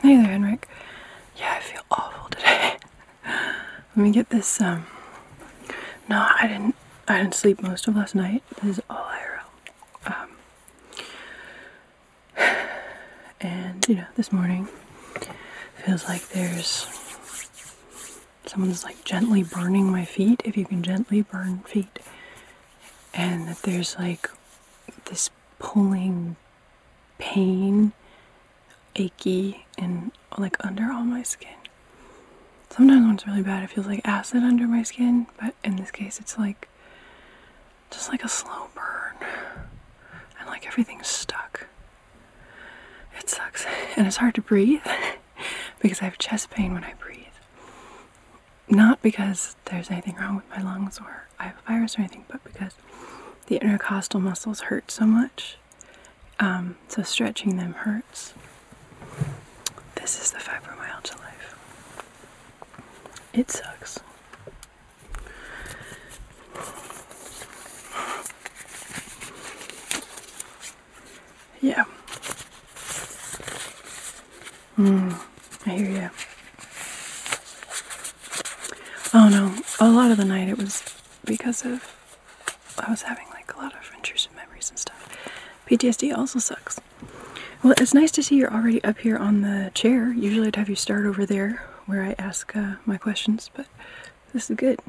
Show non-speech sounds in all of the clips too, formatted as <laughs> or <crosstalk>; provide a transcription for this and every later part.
Hey there, Henrik. Yeah, I feel awful today. <laughs> Let me get this. Um. No, I didn't. I didn't sleep most of last night. This is all IRL. Um. <sighs> And you know, this morning feels like there's someone's like gently burning my feet. If you can gently burn feet, and that there's like this pulling pain, achy, and like under all my skin. Sometimes when it's really bad, it feels like acid under my skin, but in this case, it's like just like a slow burn and like everything's stuck. It sucks, <laughs> and it's hard to breathe <laughs> because I have chest pain when I breathe. Not because because there's anything wrong with my lungs or I have a virus or anything, but because the intercostal muscles hurt so much. Um, so stretching them hurts. This is the fibromyalgia life. It sucks. Yeah. Mm, I hear you. Oh no, a lot of the night it was because of I was having like a lot of intrusive memories and stuff. PTSD also sucks. Well, it's nice to see you're already up here on the chair. Usually I'd have you start over there where I ask uh, my questions, but this is good.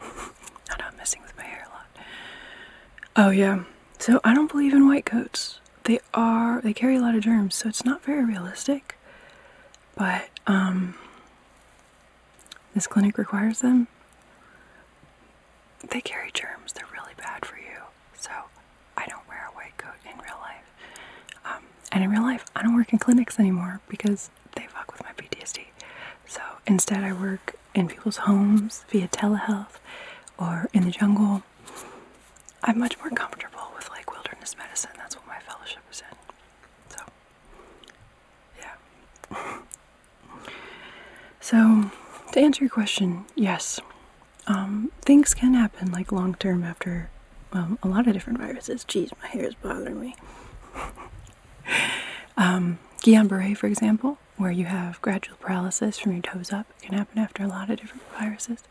<laughs> I'm messing with my hair a lot. Oh yeah. So I don't believe in white coats. They are they carry a lot of germs, so it's not very realistic but um, this clinic requires them. They carry germs, they're really bad for you. So I don't wear a white coat in real life. Um, and in real life, I don't work in clinics anymore because they fuck with my PTSD. So instead, I work in people's homes via telehealth or in the jungle I'm much more comfortable with like wilderness medicine. That's what my fellowship is in. So, yeah. <laughs> so, to answer your question, yes, um, things can happen like long term after a lot of different viruses. Geez, my hair is bothering me. <laughs> um, Guillain-Barré, for example, where you have gradual paralysis from your toes up, it can happen after a lot of different viruses.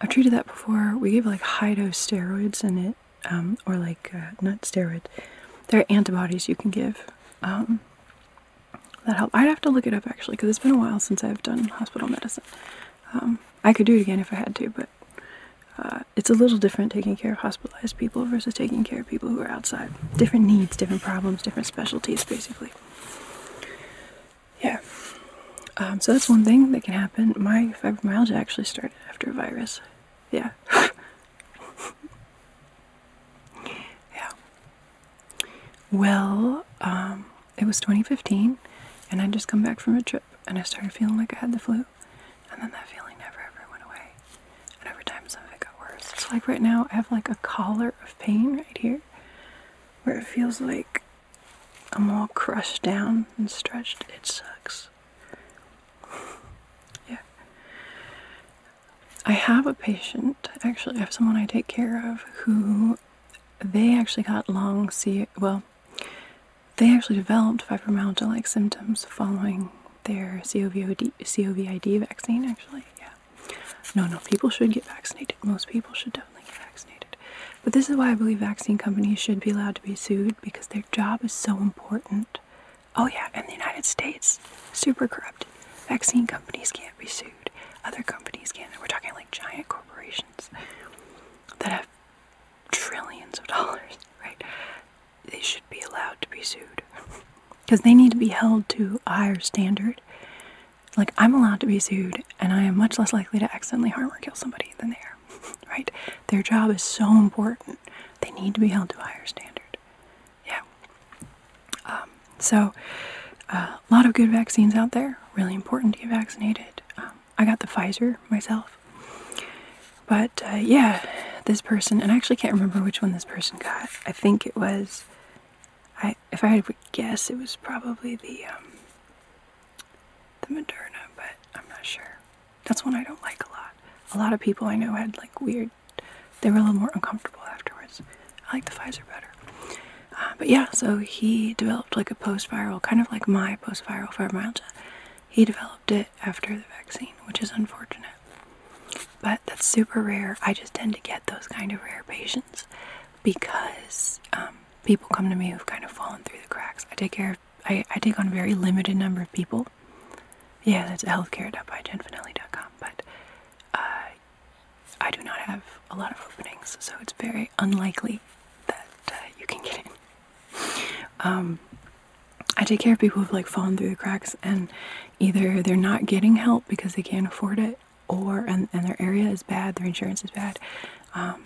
I've treated that before. We gave like high dose steroids in it, um, or like uh, not steroids. There are antibodies you can give um, that help. I'd have to look it up actually because it's been a while since I've done hospital medicine. Um, I could do it again if I had to, but uh, it's a little different taking care of hospitalized people versus taking care of people who are outside. Different needs, different problems, different specialties, basically yeah. Um, so that's one thing that can happen. My fibromyalgia actually started after a virus. Yeah. <laughs> yeah. Well, um, it was 2015, and i just come back from a trip, and I started feeling like I had the flu, and then that feeling never ever went away. And over time, something got worse. So, like right now, I have like a collar of pain right here, where it feels like I'm all crushed down and stretched. It sucks. <laughs> yeah. I have a patient, actually, I have someone I take care of who they actually got long C. Well, they actually developed fibromyalgia like symptoms following their COVID, COVID vaccine, actually. Yeah. No, no, people should get vaccinated. Most people should definitely get vaccinated. But this is why I believe vaccine companies should be allowed to be sued because their job is so important. Oh, yeah, in the United States, super corrupt. Vaccine companies can't be sued, other companies can. We're talking like giant corporations that have trillions of dollars, <laughs> right? They should be allowed to be sued because they need to be held to a higher standard like I'm allowed to be sued, and I am much less likely to accidentally harm or kill somebody than they are. <laughs> Right? Their job is so important. They need to be held to a higher standard. Yeah. Um, so, uh, a lot of good vaccines out there. Really important to get vaccinated. Um, I got the Pfizer myself. But uh, yeah, this person, and I actually can't remember which one this person got. I think it was, I if I had to guess, it was probably the um, the Moderna, but I'm not sure. That's one I don't like a lot. A lot of people I know had like weird, they were a little more uncomfortable afterwards. I like the Pfizer better. Uh, but yeah, so he developed like a post viral, kind of like my post viral fibromyalgia. He developed it after the vaccine, which is unfortunate. But that's super rare. I just tend to get those kind of rare patients because um, people come to me who've kind of fallen through the cracks. I take care of, I, I take on a very limited number of people. Yeah, that's healthcare.byjenfinelli.com, but uh, I do not have a lot of openings, so it's very unlikely that uh, you can get in. Um, I take care of people who've like fallen through the cracks and either they're not getting help because they can't afford it or and, and their area is bad, their insurance is bad. Um,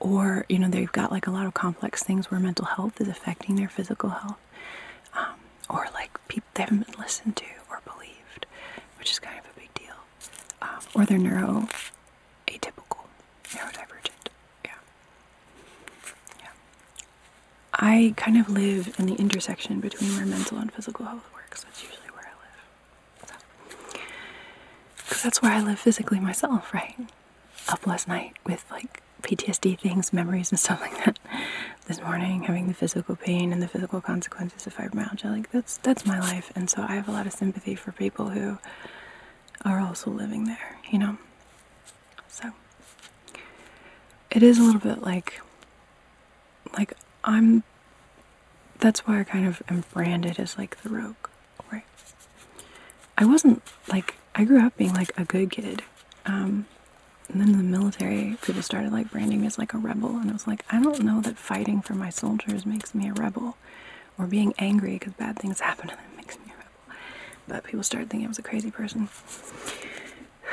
or you know they've got like a lot of complex things where mental health is affecting their physical health um, or like people they haven't been listened to or believed which is kind of a big deal um, or they're neuro atypical neurodivergent yeah yeah i kind of live in the intersection between where mental and physical health works that's usually where i live because so, that's where I live physically myself, right? Up last night with like PTSD things, memories, and stuff like that. This morning, having the physical pain and the physical consequences of fibromyalgia, like that's that's my life, and so I have a lot of sympathy for people who are also living there, you know. So it is a little bit like, like I'm that's why I kind of am branded as like the rogue, right? I wasn't like I grew up being like a good kid, um, and then the military, people started like branding me as like a rebel, and I was like, I don't know that fighting for my soldiers makes me a rebel, or being angry because bad things happen to them makes me a rebel. But people started thinking I was a crazy person.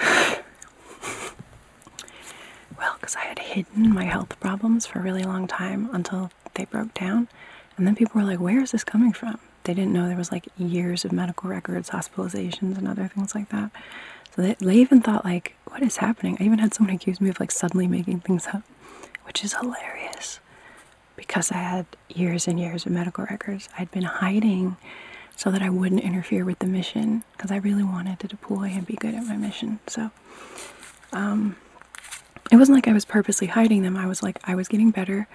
<sighs> Well, because I had hidden my health problems for a really long time until they broke down. And then people were like, where is this coming from? They didn't know there was like years of medical records, hospitalizations, and other things like that. So they, even thought like, what is happening? I even had someone accuse me of like suddenly making things up, which is hilarious because I had years and years of medical records. I'd been hiding so that I wouldn't interfere with the mission because I really wanted to deploy and be good at my mission. So um, it wasn't like I was purposely hiding them. I was like, I was getting better,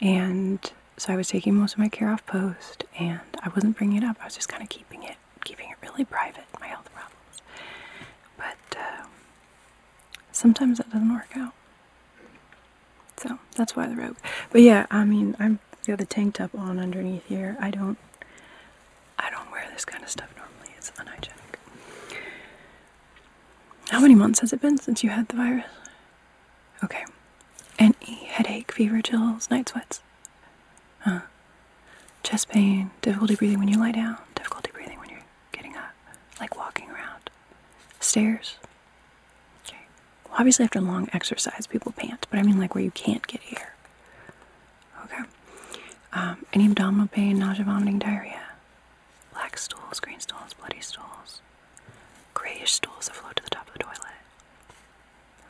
and so I was taking most of my care off post, and I wasn't bringing it up. I was just kind of keeping it, keeping it really private, my health problems. But uh, sometimes that doesn't work out. So that's why the robe. But yeah, I mean, I'm got the tank top on underneath here. I don't, I don't wear this kind of stuff normally. It's unhygienic. How many months has it been since you had the virus? Okay. Any headache, fever, chills, night sweats? Huh. Chest pain, difficulty breathing when you lie down, difficulty breathing when you're getting up, like walking around. Stairs? Okay. Well, obviously, after long exercise, people pant, but I mean like where you can't get air. Okay. Um, any abdominal pain, nausea, vomiting, diarrhea? Black stools, green stools, bloody stools. Grayish stools that afloat to the top of the toilet.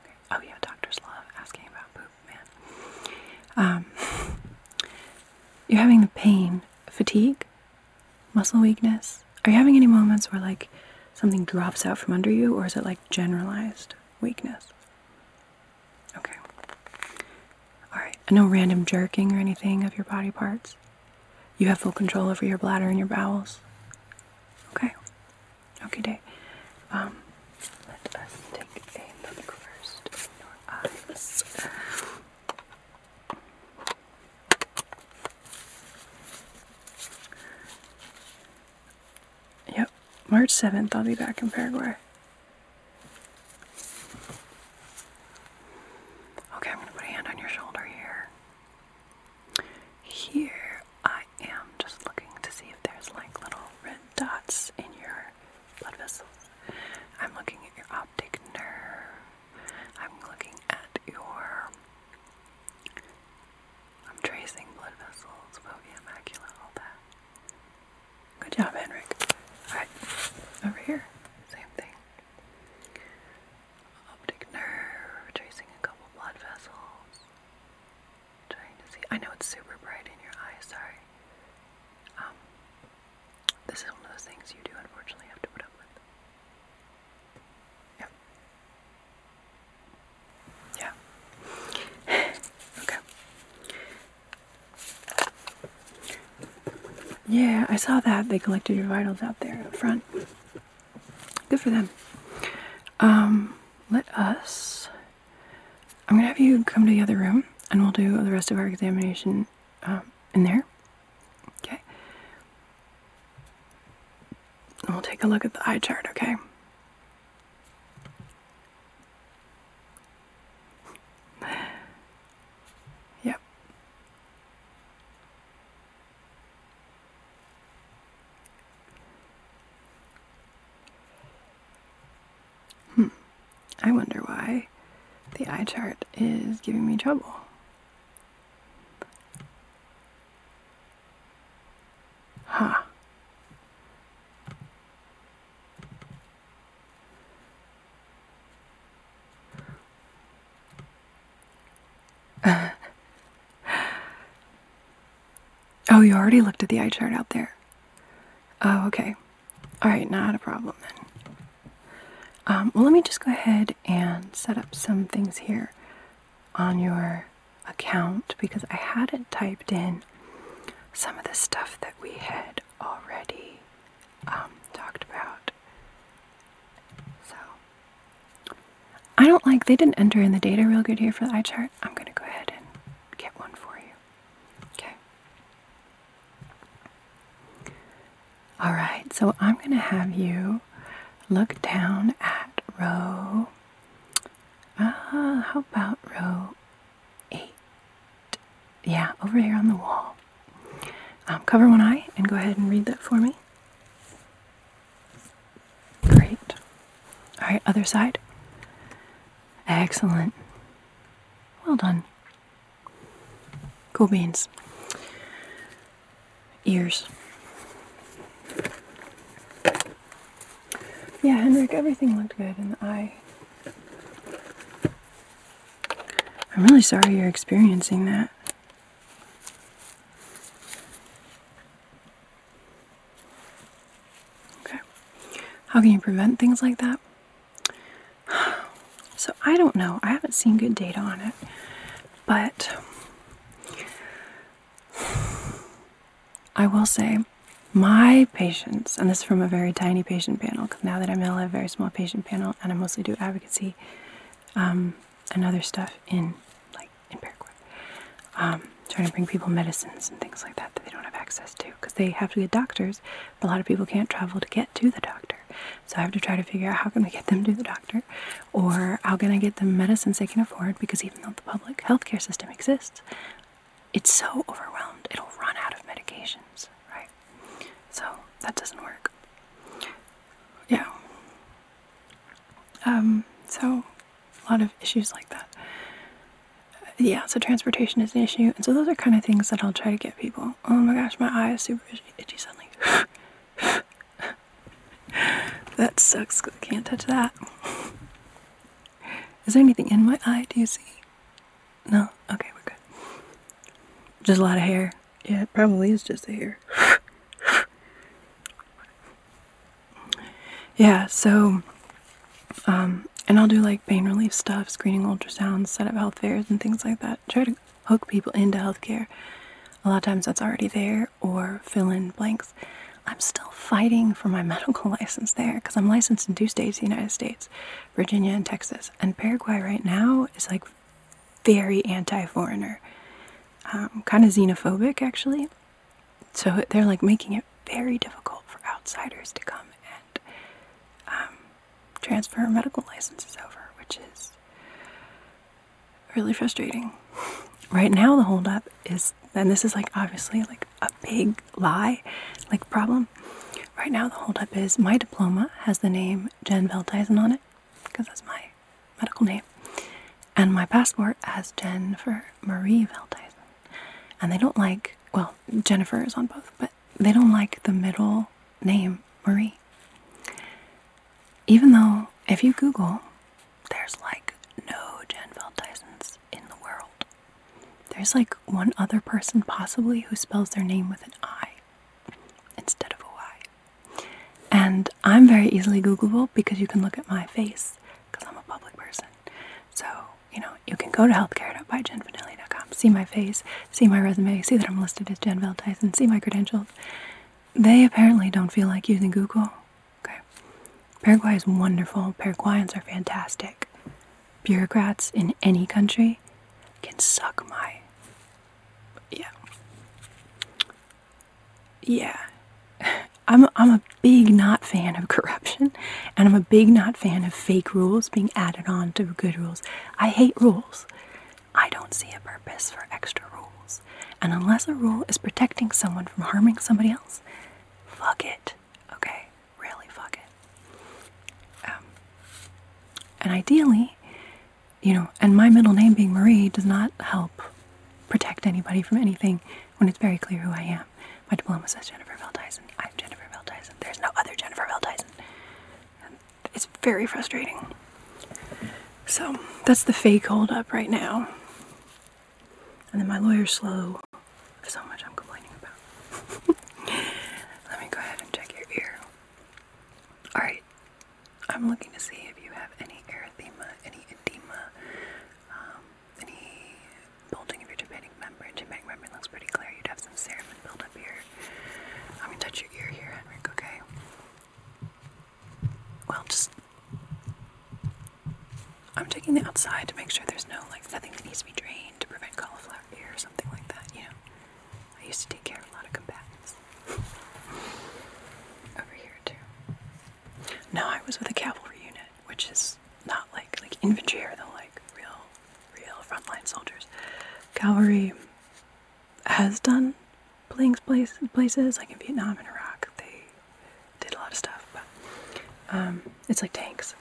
Okay. Oh yeah, doctors love asking about poop, man. Um, you're having the pain, fatigue, muscle weakness. Are you having any moments where like something drops out from under you, or is it like generalized weakness? Okay. Alright, no random jerking or anything of your body parts. You have full control over your bladder and your bowels. Okay. Okay, day. Um, let us take a look first in your eyes. Yep, March 7th, I'll be back in Paraguay. Okay, I'm going to put a hand on your shoulder here. Here, I am just looking to see if there's like little red dots in your blood vessels. I'm looking at your optic nerve. I'm looking at your. I'm tracing blood vessels, fovea, macula, all Good job, Henrik. Alright, over here. Same thing. Optic nerve, tracing a couple blood vessels. Trying to see. I know it's super bright in your eyes, sorry. Um, this is one of those things you do unfortunately have to put up with. Yep. Yeah. <laughs> okay. Yeah, I saw that. They collected your vitals out there up front. Good for them. Um, let us. I'm gonna have you come to the other room and we'll do the rest of our examination um, in there. Okay. And we'll take a look at the eye chart, okay? yep. Hmm. I wonder why the eye chart is giving me trouble. Huh. <laughs> oh, you already looked at the eye chart out there. Oh, okay. All right, not a problem then. Um, well, let me just go ahead and set up some things here on your account because I hadn't typed in some of the stuff that we had already um, talked about. So I don't like they didn't enter in the data real good here for the eye chart. I'm gonna go ahead and get one for you. Okay. All right, so I'm gonna have you look down at row. Uh, how about row eight? yeah, over here on the wall. Um, cover one eye and go ahead and read that for me. Great. All right, other side. Excellent. Well done. Cool beans. Ears. Yeah, Henrik, everything looked good in the eye. I'm really sorry you're experiencing that. Okay. How can you prevent things like that? <sighs> So, I don't know. I haven't seen good data on it. But <sighs> I will say, my patients, and this is from a very tiny patient panel, because now that I'm ill, very small patient panel, and I mostly do advocacy um, and other stuff in like in Paraguay. Um, trying to bring people medicines and things like that that they don't have access to because they have to get doctors, but a lot of people can't travel to get to the doctor. So I have to try to figure out how can we get them to the doctor, or how can I get them medicines they can afford because even though the public healthcare system exists, it's so overwhelmed it'll run out of medications, right? So that doesn't work. Yeah. Um, so a lot of issues like that. Yeah, so transportation is an issue. And so those are kind of things that I'll try to get people. Oh my gosh, my eye is super itchy suddenly. <laughs> that sucks can't touch that. Is there anything in my eye? Do you see? No? Okay, we're good. Just a lot of hair. Yeah, it probably is just the hair. <laughs> yeah, so um and I'll do like pain relief stuff, screening ultrasounds, set up health fairs and things like that. Try to hook people into healthcare. A lot of times that's already there or fill in blanks. I'm still fighting for my <laughs> medical license there because I'm licensed in two states, the United States, Virginia and Texas. And Paraguay right now is like very anti-foreigner, um, kind of xenophobic actually. So they're like making it very difficult for outsiders to come and um, transfer medical licenses over, which is really frustrating. Right now, the holdup is, and this is like obviously like a big lie, like problem, Right now, the holdup is my diploma has the name Jen Veldhuizen on it because that's my medical name, and my passport has Jen for Marie Veldhuizen. And they don't like, well, Jennifer is on both, but they don't like the middle name Marie. Even though, if you Google, there's like no Jen Veldhuizens in the world. There's like one other person possibly who spells their name with an I instead of a Y. And I'm very easily Googleable because you can look at my face because I'm a public person. So, you know, you can go to healthcare.byjenvanelli.com, see my face, see my resume, see that I'm listed as Jen Val see my credentials. They apparently don't feel like using Google. Okay. Paraguay is wonderful. Paraguayans are fantastic. Bureaucrats in any country can suck my yeah. Yeah. I'm a, I'm a big not fan of corruption and I'm a big not fan of fake rules being added on to good rules. I hate rules. I don't see a purpose for extra rules. And unless a rule is protecting someone from harming somebody else, fuck it. Okay? Really fuck it. Um, and ideally, you know, and my middle name being Marie does not help protect anybody from anything when it's very clear who I am. My diploma says Jennifer Bell Dyson. I'm Jennifer Bell There's no other Jennifer Bell Dyson. It's very frustrating. So that's the fake hold up right now. And then my lawyer's slow. So much I'm complaining about. <laughs> Let me go ahead and check your ear. Alright, I'm looking to see if you have any erythema, any edema, um, any bulging of your tympanic membrane. Tympanic membrane looks pretty clear. You'd have some cerumen build up here. I'm going to touch your ear here, Henrik, okay? Well, just. I'm checking the outside to make sure there's no, like, nothing that needs to be drained to prevent cauliflower ear or something like that, you know? I used to take care of a lot of combatants. Over here too. No, I was with a cavalry unit, which is not like like infantry or the like real real frontline soldiers. Cavalry has done playing place, places like in Vietnam and Iraq. They did a lot of stuff, but um, it's like tanks.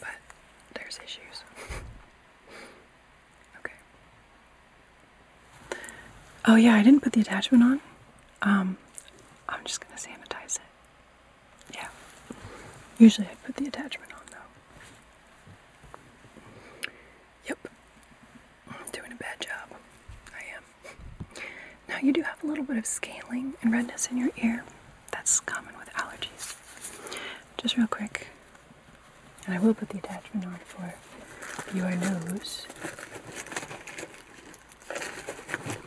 But there's issues. Okay. Oh yeah, I didn't put the attachment on. Um, I'm just gonna sanitize it. Yeah. Usually I put the attachment on though. Yep. I'm doing a bad job. I am. Now you do have a little bit of scaling and redness in your ear. That's common with allergies. Just real quick, and I will put the attachment on for your nose.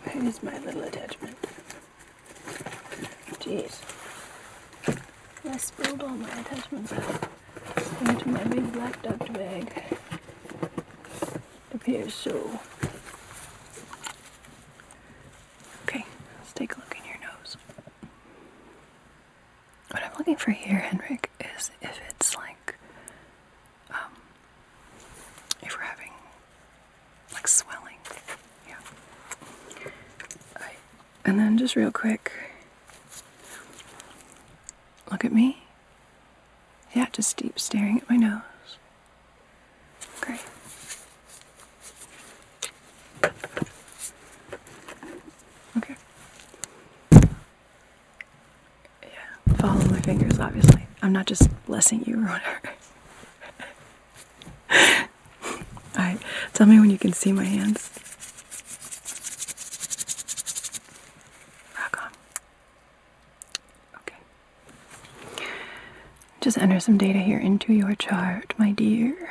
Where is my little attachment? Jeez. I spilled all my attachments out into my big black duct bag. It appears so. Okay, let's take a look in your nose. What I'm looking for here, Henrik, is if it's like, um, if we're having like swelling. Yeah. and then just real quick, look at me. Yeah, just deep staring at my nose. Great. Okay. Yeah, follow my fingers, obviously. I'm not just blessing you or whatever. <laughs> Alright, tell me when you can see my hands. Rock on. Okay. Just enter some data here into your chart, my dear.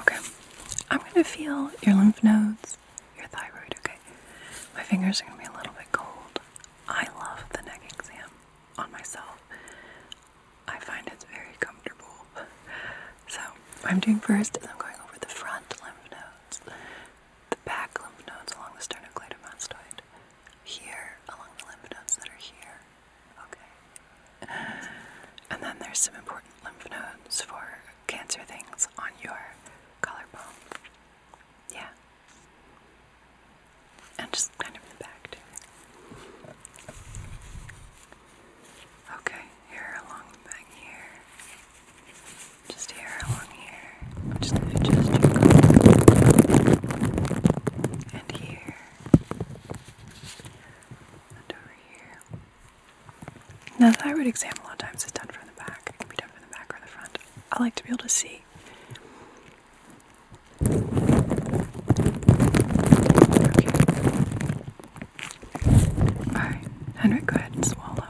Okay, I'm gonna feel your lymph nodes, your thyroid, okay? My fingers are gonna be a little bit cold. I love the neck exam on myself, I find it's very comfortable. So, I'm doing first and I'm going over the front lymph nodes, the back lymph nodes along the sternocleidomastoid, here along the lymph nodes that are here, Okay. And then there's some important lymph nodes for cancer things on your collarbone. Yeah. And just kind of the back, too. Okay, here along the back here. Just here along here. I'm just going to adjust your collar. And here. And over here. Now, the thyroid exam a lot of times it's done from the back. It can be done from the back or the front. I like to be able to see. Alright, Henrik, go ahead and swallow.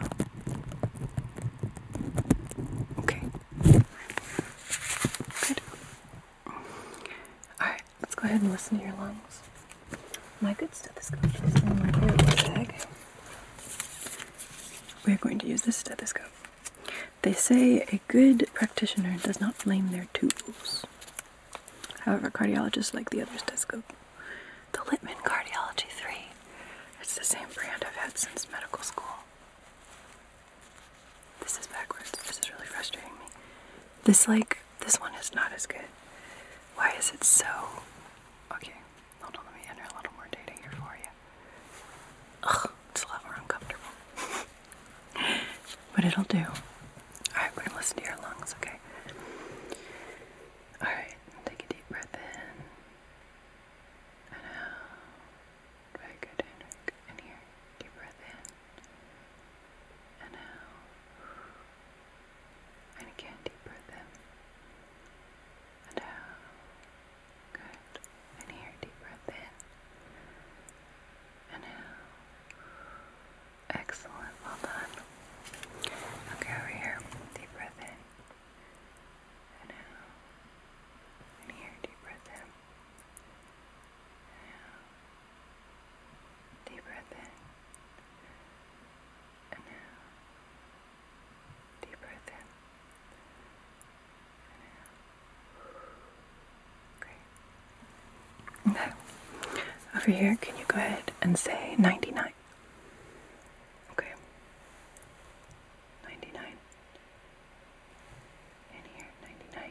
Okay. Good. Alright, let's go ahead and listen to your lungs. My good stethoscope is in my earwax bag. We're going to use this stethoscope. They say a good practitioner does not blame their tools. However, cardiologists like the other stethoscope. The Littman Cardiology 3. It's the same brand I've had since medical school. This is backwards. This is really frustrating me. This, like, this one is not as good. Why is it so. Okay, hold on, let me enter a little more data here for you. Ugh, it's a lot more uncomfortable. <laughs> but it'll do. Alright, we're gonna listen to your lungs, okay? Alright, take a deep breath in out. Very good, Henrik. And here, deep breath in. And out. And again, deep breath in. And out. Good. And here, deep breath in. And out. Excellent. Well done. Okay, over here. Deep breath in. And out. And here, deep breath in deep breath in. And now, deep breath in. And now. Great. Now, over here, can you go ahead and say 99? Okay. 99. And here, 99.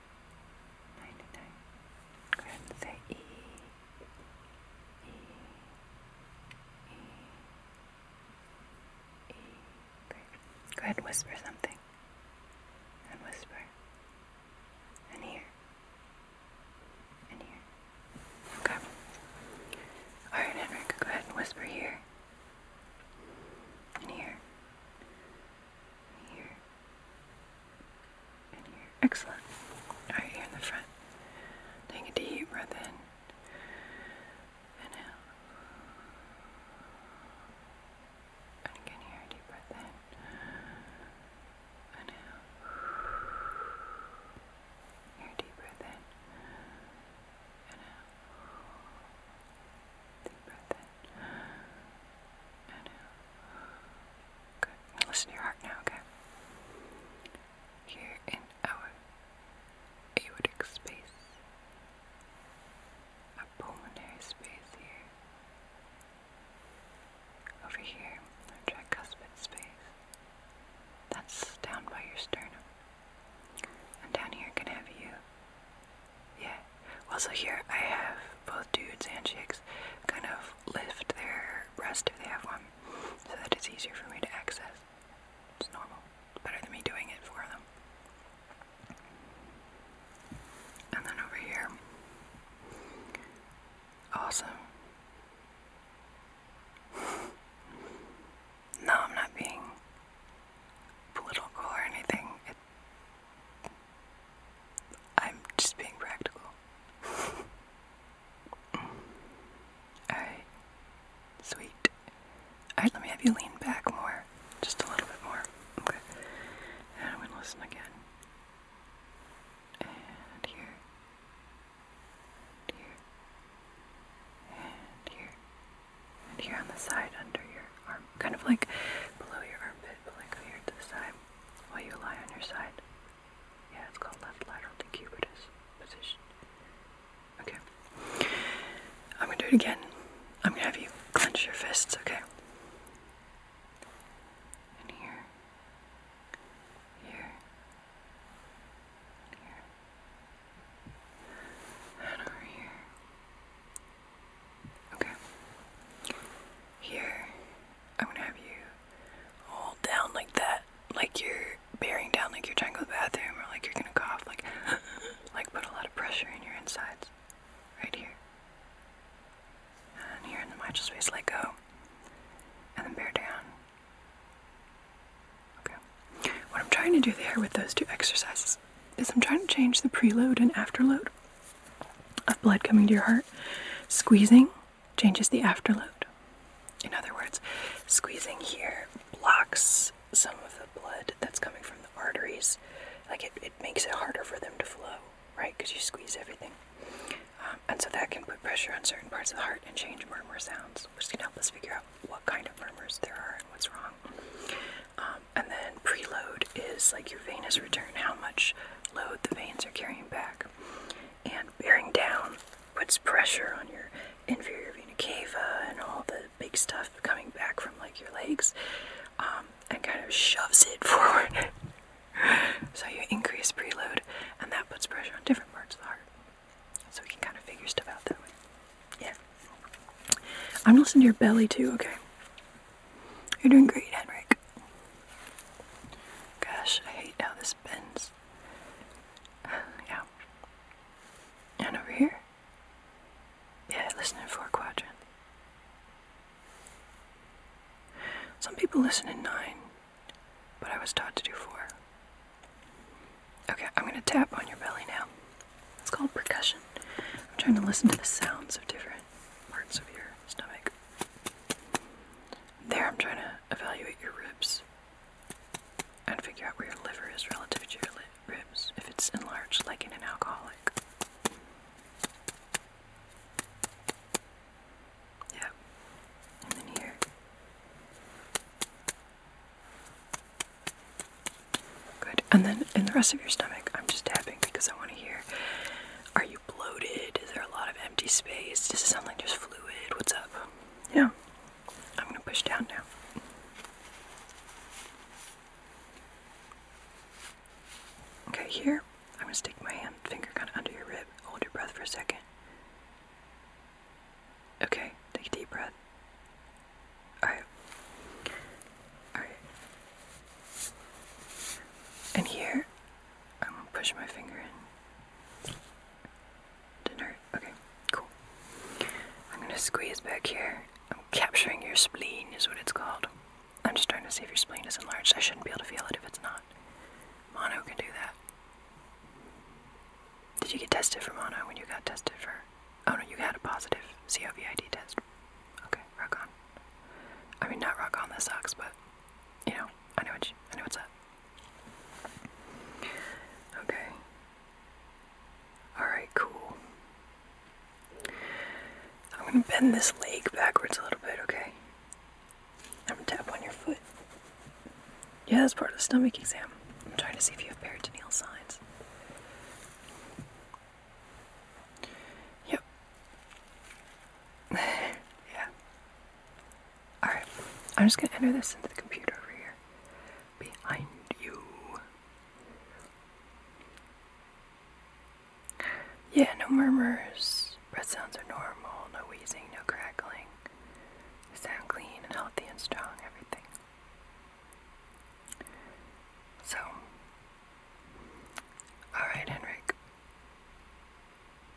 99. Go ahead and say E, E, E, E. Go ahead whisper something. And whisper. And here. And here. Okay. Alright, Henrik, go ahead whisper here. And here. here. Excellent. Alright, here in the front. Take a deep breath in and out. And again here, deep breath in and out. Here, Deep breath in and out listen to your heart now, okay? Here in our aortic space, our pulmonary space here. Over here, our tricuspid space. That's down by your sternum. And down here can have you. Yeah. Also here I have both dudes and chicks kind of lift their breast if they have one, so that it's easier for me to access. It's normal. better than me doing it for them. And then over here, awesome. no, I'm not being political or anything. I'm just being practical. <laughs> Alright. Sweet. Alright, let me have you lean back more. Just a little bit more. Okay. And I'm gonna listen again. And here. And here. And here. And here on the side under your arm. Kind of like below your armpit, but like over here to the side. While you lie on your side. Yeah, it's called left lateral decubitus position. Okay. I'm gonna do it again. I'm gonna have you clench your fists, okay? And here. Here. here. And over here. Okay. Here. I'm gonna have you hold down like that, like you're bearing down, like you're trying to go to the bathroom, or like you're gonna cough, like, <gasps> like put a lot of pressure in your insides, right here, and here in the mitral space, let go, and then bear down. Okay. What I'm trying to do there with those two exercises is I'm trying to change the preload and afterload of blood coming to your heart, squeezing changes the afterload. In other words, squeezing here blocks some of the blood that's coming from the arteries. Like it, it makes it harder for them to flow, right? Because you squeeze everything. Um, and so that can put pressure on certain parts of the heart and change murmur sounds, which can help us figure out what kind of murmurs there are and what's wrong. Um, and then preload is like your venous return, how much load the veins are carrying back. And bearing down puts pressure on your inferior vena cava and all the big stuff coming back from like your legs um, and kind of shoves it <laughs> forward. so you increase preload and that puts pressure on different parts of the heart. So we can kind of figure stuff out that way. Yeah. I'm listening to your belly too, okay? You're doing great, Henrik. Gosh, I hate how this bends. <sighs> yeah. And over here? Yeah, listen in four quadrant. Some people listen in nine, but I was taught to do four. Okay, I'm gonna tap on your belly now. It's called percussion. I'm trying to listen to the sounds of different parts of your stomach. There, I'm trying to evaluate your ribs and figure out where your liver is relative to your ribs, if it's enlarged like in an alcoholic. Yeah. And then here. Good. And then in the rest of your stomach, I'm just tapping because I want to hear are you bloated? Is there a lot of empty space? Does it sound like there's fluid? What's up? Yeah. I'm going to push down now. Okay, here, I'm going to stick my hand, finger kind of under your rib. Hold your breath for a second. Okay, take a deep breath. Alright. Alright. And here, I'm gonna push my finger in. Didn't hurt. Okay, cool. I'm gonna squeeze back here. I'm capturing your spleen, is what it's called. I'm just trying to see if your spleen is enlarged. I shouldn't be able to feel it if it's not. Mono can do that. Did you get tested for mono when you got tested for? Oh no, you had a positive COVID test. Okay, rock on. I mean, not rock on, This sucks, but you know, I know what you, I know what's up. Okay. Alright, cool. I'm gonna bend this leg backwards a little bit, okay? I'm gonna tap on your foot. Yeah, that's part of the stomach exam. I'm trying to see if you have peritoneal signs. Yep. <laughs> yeah. Alright, I'm just gonna enter this into the computer over here. Behind you. Yeah, no murmurs. Breath sounds are normal. No wheezing, no crackling. sound clean and healthy and strong, everything. So, alright, Henrik.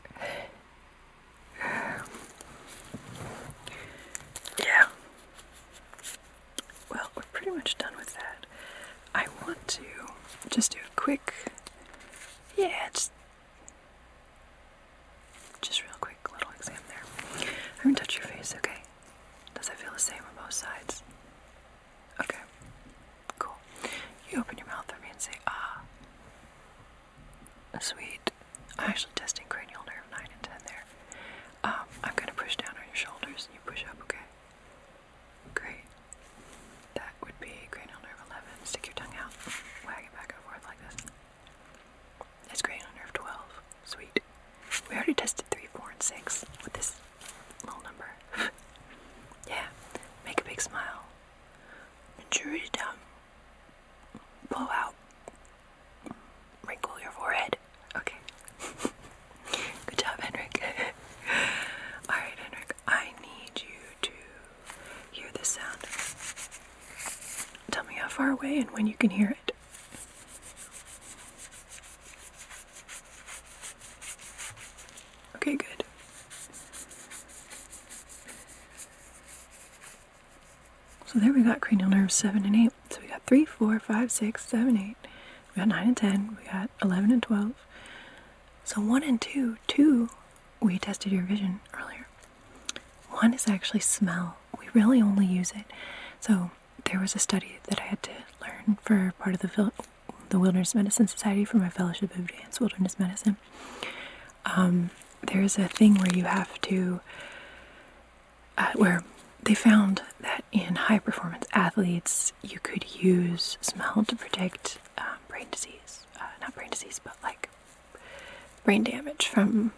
<sighs> yeah. Well, we're pretty much done with that. I want to just do a quick, yeah, just, just real quick little exam there. I'm gonna touch your face, okay? Does that feel the same on both sides? Okay. Cool. You open your mouth for me and say, ah. Sweet. I'm actually testing cranial nerve 9 and 10 there. Um, I'm going to push down on your shoulders and you push up, okay? Great. That would be cranial nerve 11. Stick your tongue out. Wag it back and forth like this. That's cranial nerve 12. Sweet. We already tested 3, 4, and 6 with this little number. <laughs> yeah. Make a big smile. Jury down. Blow out. Wrinkle your forehead. Okay. <laughs> Good job, Henrik. <laughs> Alright, Henrik, I need you to hear this sound. Tell me how far away and when you can hear it. Okay, good. So there we got cranial nerves 7 and 8. So we got 3, 4, 5, 6, 7, 8. We got 9 and 10. We got 11 and 12. So 1 and 2, 2, we tested your vision earlier. 1 is actually smell. We really only use it. So there was a study that I had to learn for part of the, the Wilderness Medicine Society for my fellowship of advanced wilderness medicine um, there's a thing where you have to, uh, where they found that in high performance athletes, you could use smell to predict uh, brain disease. Uh, not brain disease, but like brain damage from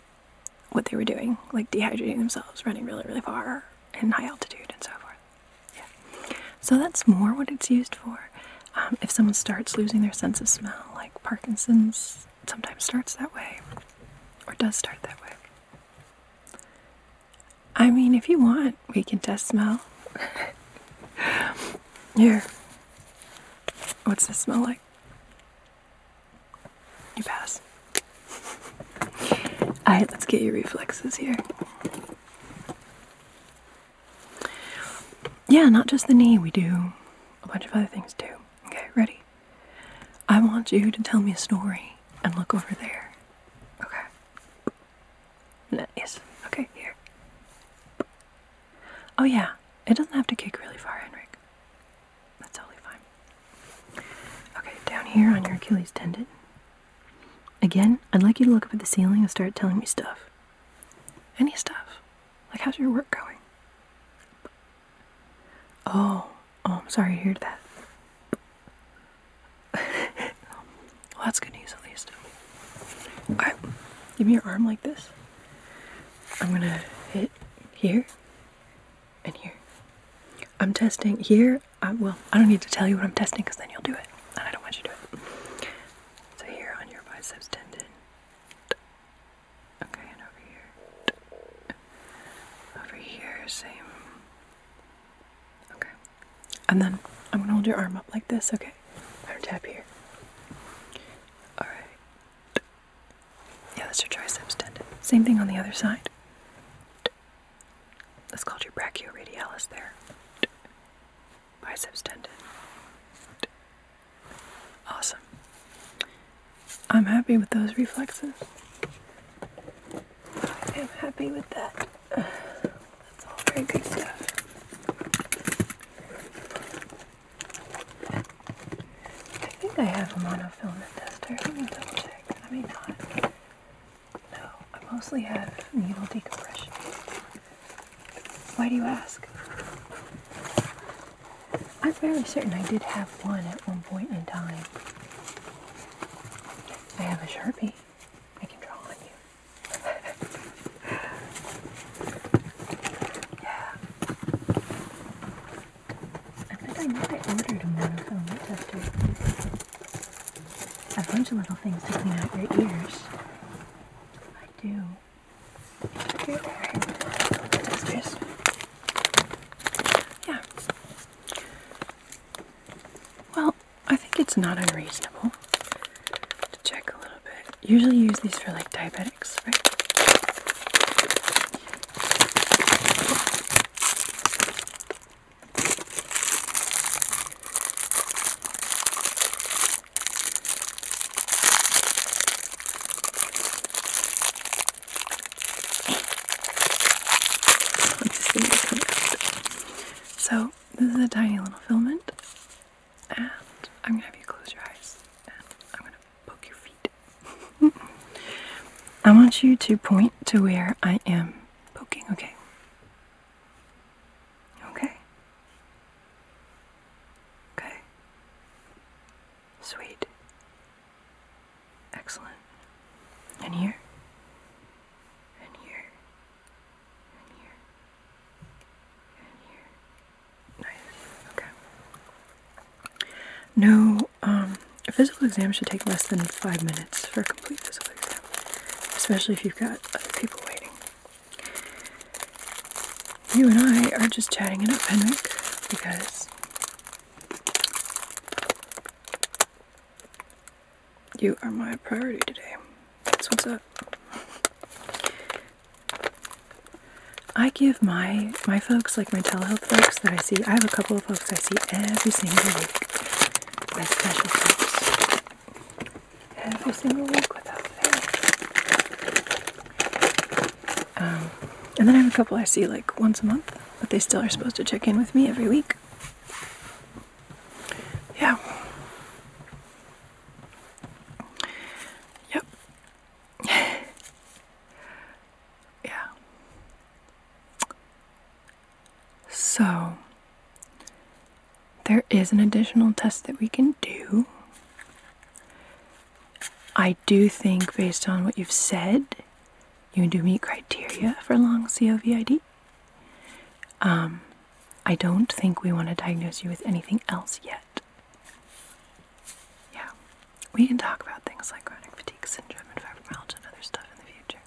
what they were doing, like dehydrating themselves, running really, really far in high altitude, and so forth. Yeah. So that's more what it's used for. Um, if someone starts losing their sense of smell, like Parkinson's sometimes starts that way, or does start that way. I mean, if you want, we can test smell. <laughs> Here. What's this smell like? You pass. <laughs> Alright, let's get your reflexes here. Yeah, not just the knee, we do a bunch of other things too. Okay, ready? I want you to tell me a story and look over there. Okay. Nice. Okay, here. Oh, yeah, it doesn't have to kick really far, Henrik. That's totally fine. Okay, down here on your Achilles tendon. Again, I'd like you to look up at the ceiling and start telling me stuff. Any stuff. Like, how's your work going? Oh, oh, I'm sorry to heard that. <laughs> well, that's good news at least. Alright, give me your arm like this. I'm gonna hit here and here. I'm testing here. I, well, I don't need to tell you what I'm testing because then you'll do it, and I don't want you to do it. So here on your biceps tendon, Okay, and over here. Over here, same. Okay. And then I'm gonna hold your arm up like this, okay? I'm gonna tap here. Alright. Yeah, that's your triceps tendon. Same thing on the other side. That's called your brachioradialis there biceps tendon. Awesome. I'm happy with those reflexes. I'm happy with that. That's all very good stuff. I think I have a monofilament tester. Let me double check. I may not. No, I mostly have needle decompression. Why do you ask? I'm fairly certain I did have one at one point in time. I have a Sharpie. I can draw on you. <laughs> yeah. I think I know I ordered them when I was A bunch of little things to clean out your ears. I do. Yeah. Well, I think it's not unreasonable to check a little bit. Usually use these for like diabetics, right? <laughs> So this is a tiny little filament, and I'm gonna have you close your eyes, and I'm gonna poke your feet. <laughs> I want you to point to where I am poking. Okay. Okay. Okay. Sweet. Excellent. And here? And here. And here. And here. Nice. Okay. No, um, a physical exam should take less than five minutes for a complete physical exam, especially if you've got other people waiting. You and I are just chatting it up, Henrik, because you are my priority today. That's what's up. I give my my folks, like my telehealth folks that I see, I have a couple of folks I see every single week as special folks every single week without fail. Um, and then I have a couple I see like once a month, but they still are supposed to check in with me every week. Yeah. Yep. <laughs> yeah. So, there is an additional test that we can do. I do think, based on what you've said, you do meet criteria for long COVID. Um, I don't think we want to diagnose you with anything else yet. Yeah, we can talk about things like chronic fatigue syndrome and fibromyalgia and other stuff in the future.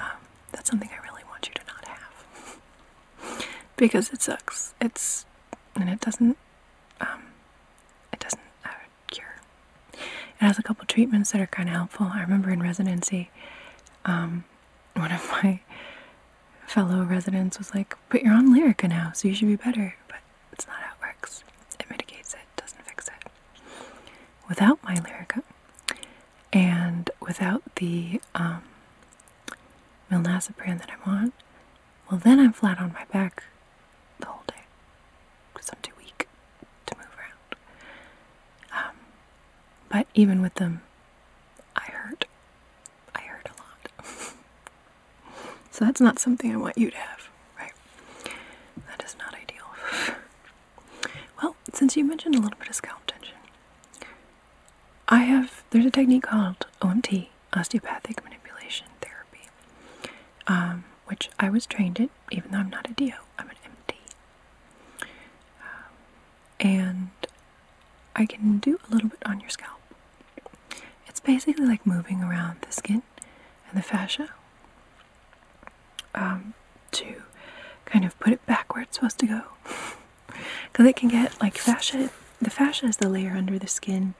Um, that's something I really want you to not have <laughs> because it sucks. It's and it doesn't um, it doesn't uh, cure. It has a couple treatments that are kind of helpful. I remember in residency, um, one of my fellow residents was like, "But you're on Lyrica now, so you should be better." But it's not how it works. It mitigates it, doesn't fix it. Without my Lyrica, and without the um, brand that I'm on, well, then I'm flat on my back the whole day because I'm too weak to move around. Um, but even with them, I hurt. I hurt a lot. <laughs> so that's not something I want you to have, right? That is not ideal. <laughs> well, since you mentioned a little bit of scalp tension, I have, there's a technique called OMT osteopathic manipulation therapy, um, which I was trained in, even though I'm not a DO, I'm an MD. Um, and I can do a little bit on your scalp. It's basically like moving around the skin and the fascia um, to kind of put it back where it's supposed to go. Because <laughs> it can get like fascia the fascia is the layer under the skin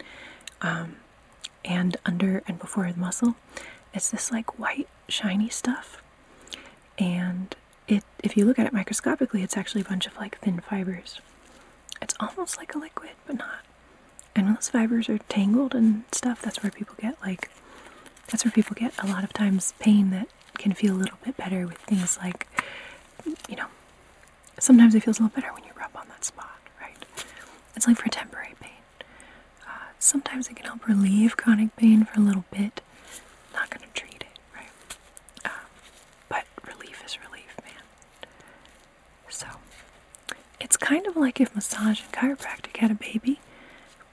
um, and under and before the muscle. It's this like white, shiny stuff. And it, if you look at it microscopically, it's actually a bunch of like thin fibers. It's almost like a liquid, but not. And when those fibers are tangled and stuff, that's where people get like, that's where people get a lot of times pain that can feel a little bit better with things like, you know, sometimes it feels a little better when you rub on that spot, right? It's only for temporary pain. Uh, sometimes it can help relieve chronic pain for a little bit. Not going to treat it, right? Um, but relief is relief, man. So it's kind of like if massage and chiropractic had a baby,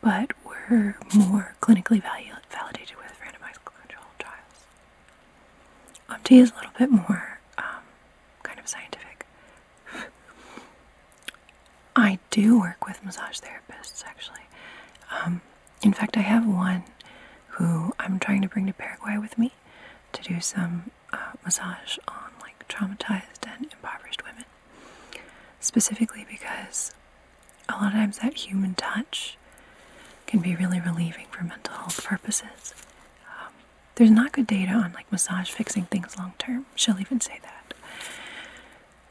but were more clinically validated with randomized controlled trials. Opti is a little bit more um, kind of scientific. I do work with massage therapists actually. Um, in fact, I have one who I'm trying to bring to Paraguay with me to do some uh, massage on like traumatized and impoverished women. Specifically because a lot of times that human touch can be really relieving for mental health purposes. Um, there's not good data on like massage fixing things long term. She'll even say that.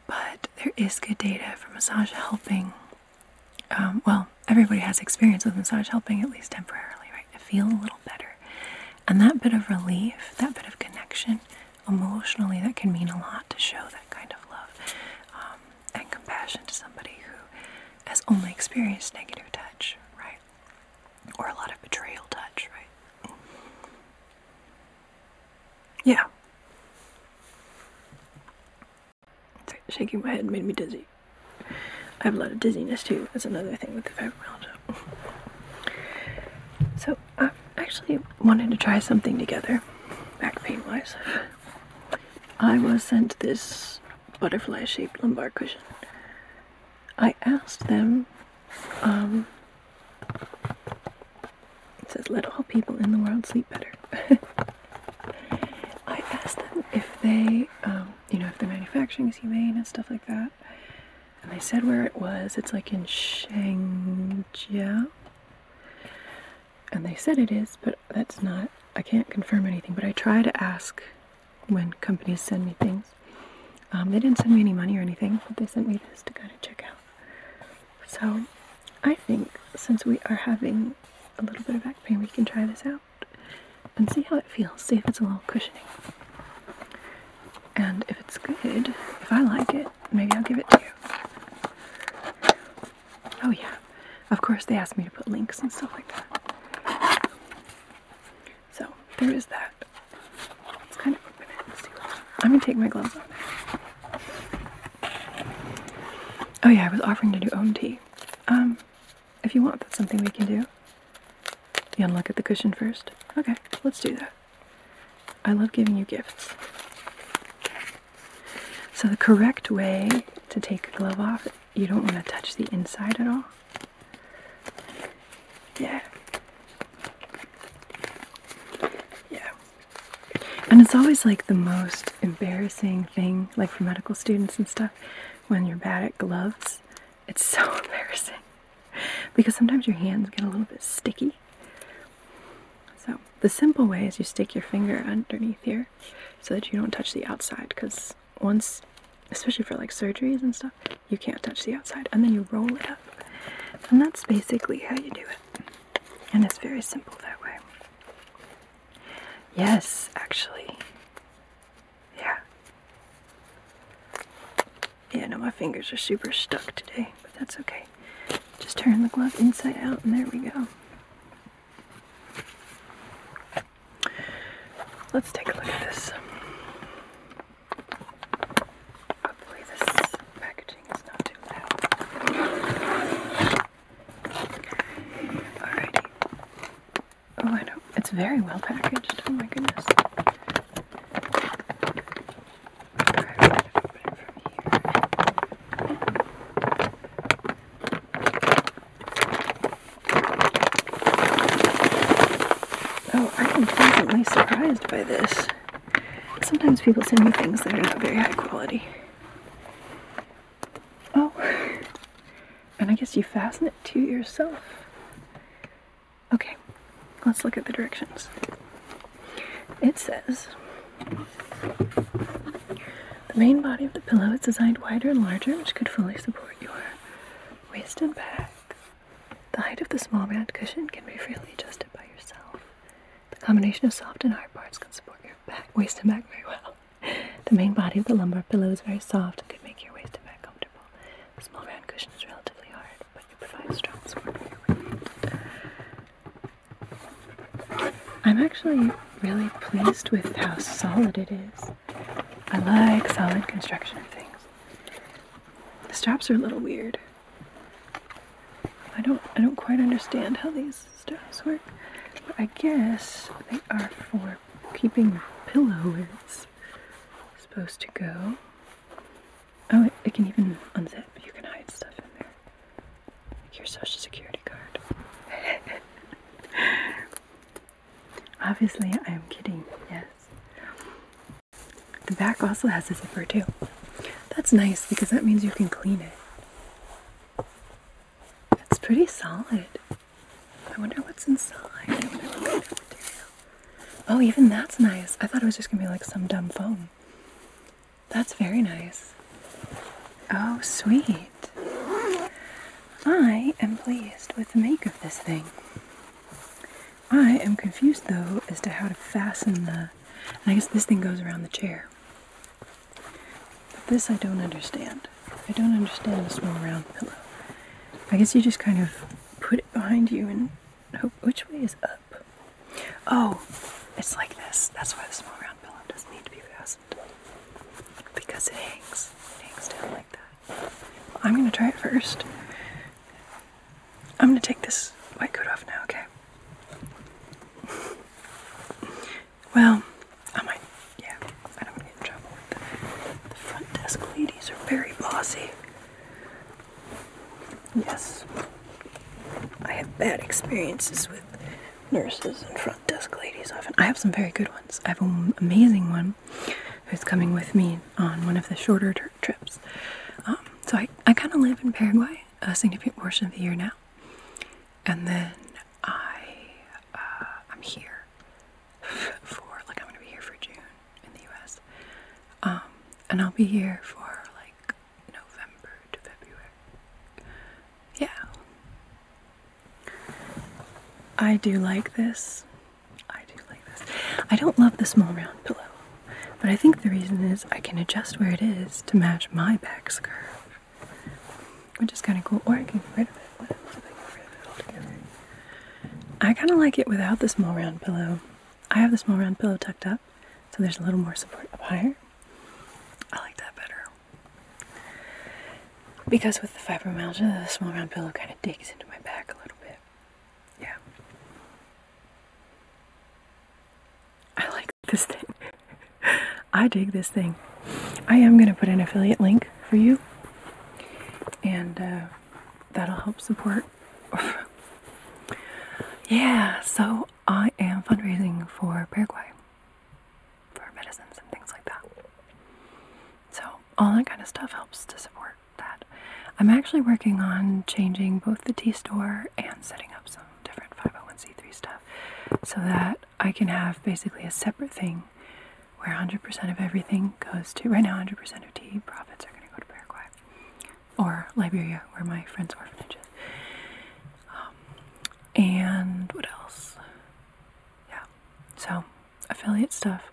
But there is good data for massage helping. Um, well, everybody has experience with massage helping at least temporarily, right? To feel a little better. And that bit of relief, that bit of connection, emotionally, that can mean a lot to show that kind of love um, and compassion to somebody who has only experienced negative touch, right? Or a lot of betrayal touch, right? Yeah. shaking my head made me dizzy. I have a lot of dizziness too. That's another thing with the fibromyalgia. So i actually wanted to try something together, back pain wise. I was sent this butterfly shaped lumbar cushion. I asked them, um, it says, let all people in the world sleep better. <laughs> I asked them if they, um, you know, if the manufacturing is humane and stuff like that. And they said where it was. It's like in Shangjiao. And they said it is, but that's not, I can't confirm anything. But I try to ask when companies send me things. Um, they didn't send me any money or anything, but they sent me this to kind of check out. So I think since we are having a little bit of back pain, we can try this out and see how it feels. See if it's a little cushioning. And if it's good, if I like it, maybe I'll give it to you. Oh, yeah. Of course, they asked me to put links and stuff like that. So there is that. Let's kind of open it and see what's I'm gonna take my gloves off. Oh yeah, I was offering to do own tea. Um, if you want, that's something we can do. You unlock at the cushion first? Okay, let's do that. I love giving you gifts. So the correct way to take a glove off you don't want to touch the inside at all. Yeah. Yeah. And it's always like the most embarrassing thing, like for medical students and stuff, when you're bad at gloves. It's <laughs> so embarrassing because sometimes your hands get a little bit sticky. So, the simple way is you stick your finger underneath here so that you don't touch the outside because once, especially for like surgeries and stuff, you can't touch the outside, and then you roll it up, and that's basically how you do it. And it's very simple that way. Yes, actually. Yeah. Yeah, no, my fingers are super stuck today, but that's okay. Just turn the glove inside out, and there we go. Let's take a look at this. Hopefully this packaging is not too loud. Alrighty. Oh, I know. It's very well packaged. Oh my goodness. Oh, I am pleasantly surprised by this. Sometimes people send me things that are not very high quality. Oh, and I guess you fasten it to yourself. Okay, let's look at the directions. It says, the main body of the pillow is designed wider and larger, which could fully support your waist and back. The height of the small round cushion can be freely adjusted by yourself. The combination of soft and hard parts can support your back, waist and back very well. The main body of the lumbar pillow is very soft and can make your waist and back comfortable. The small round cushion is relatively hard, but it provides strong support for your weight. I'm actually really pleased with how solid it is. I like solid construction of things. The straps are a little weird. I don't I don't quite understand how these straps work. But I guess they are for keeping pillow where it's supposed to go. Oh, it can even unzip. You can hide stuff in there. Like your social security card. <laughs> Obviously, I am kidding, yes. The back also has a zipper, too. That's nice because that means you can clean it. It's pretty solid. I wonder what's inside. Oh, even that's nice. I thought it was just gonna be like some dumb foam. That's very nice. Oh, sweet. I am pleased with the make of this thing. I am confused though as to how to fasten the. I guess this thing goes around the chair. But this I don't understand. I don't understand the small round pillow. I guess you just kind of put it behind you and Which way is up? Oh, it's like this. That's why the small round pillow doesn't need to be fastened. Because it hangs. It hangs down like that. I'm gonna try it first. I'm gonna take this white coat off now, okay? well, I might, yeah, I don't want to get in trouble with the, the front desk ladies are very bossy. Yes, I have bad experiences with nurses and front desk ladies often. I have some very good ones. I have an amazing one who's coming with me on one of the shorter trips. Um, so I, I kind of live in Paraguay a significant portion of the year now. And then I, uh, I'm here for, like, I'm going to be here for June in the US. Um, and I'll be here for, like, November to February. Yeah. I do like this I do like this. I don't love the small round pillow, but I think the reason is I can adjust where it is to match my back curve, which is kind of cool. Or I can get rid of it. What else if I get rid of it altogether? I kind of like it without the small round pillow. I have the small round pillow tucked up, so there's a little more support up higher. I like that better. Because with the fibromyalgia, the small round pillow kind of digs into my back a little bit. Yeah. I like <laughs> this thing. I dig this thing. I am going to put an affiliate link for you, and uh, that'll help support. <laughs> yeah, so I am fundraising for Paraguay for medicines and things like that. So, all that kind of stuff helps to support that. I'm actually working on changing both the tea store and setting up some different 501c3 stuff so that I can have basically a separate thing where 100% of everything goes to. Right now, 100% of tea profits are going to go to Paraguay or Liberia, where my friend's orphanage is. Um, and what else? Yeah. So affiliate stuff.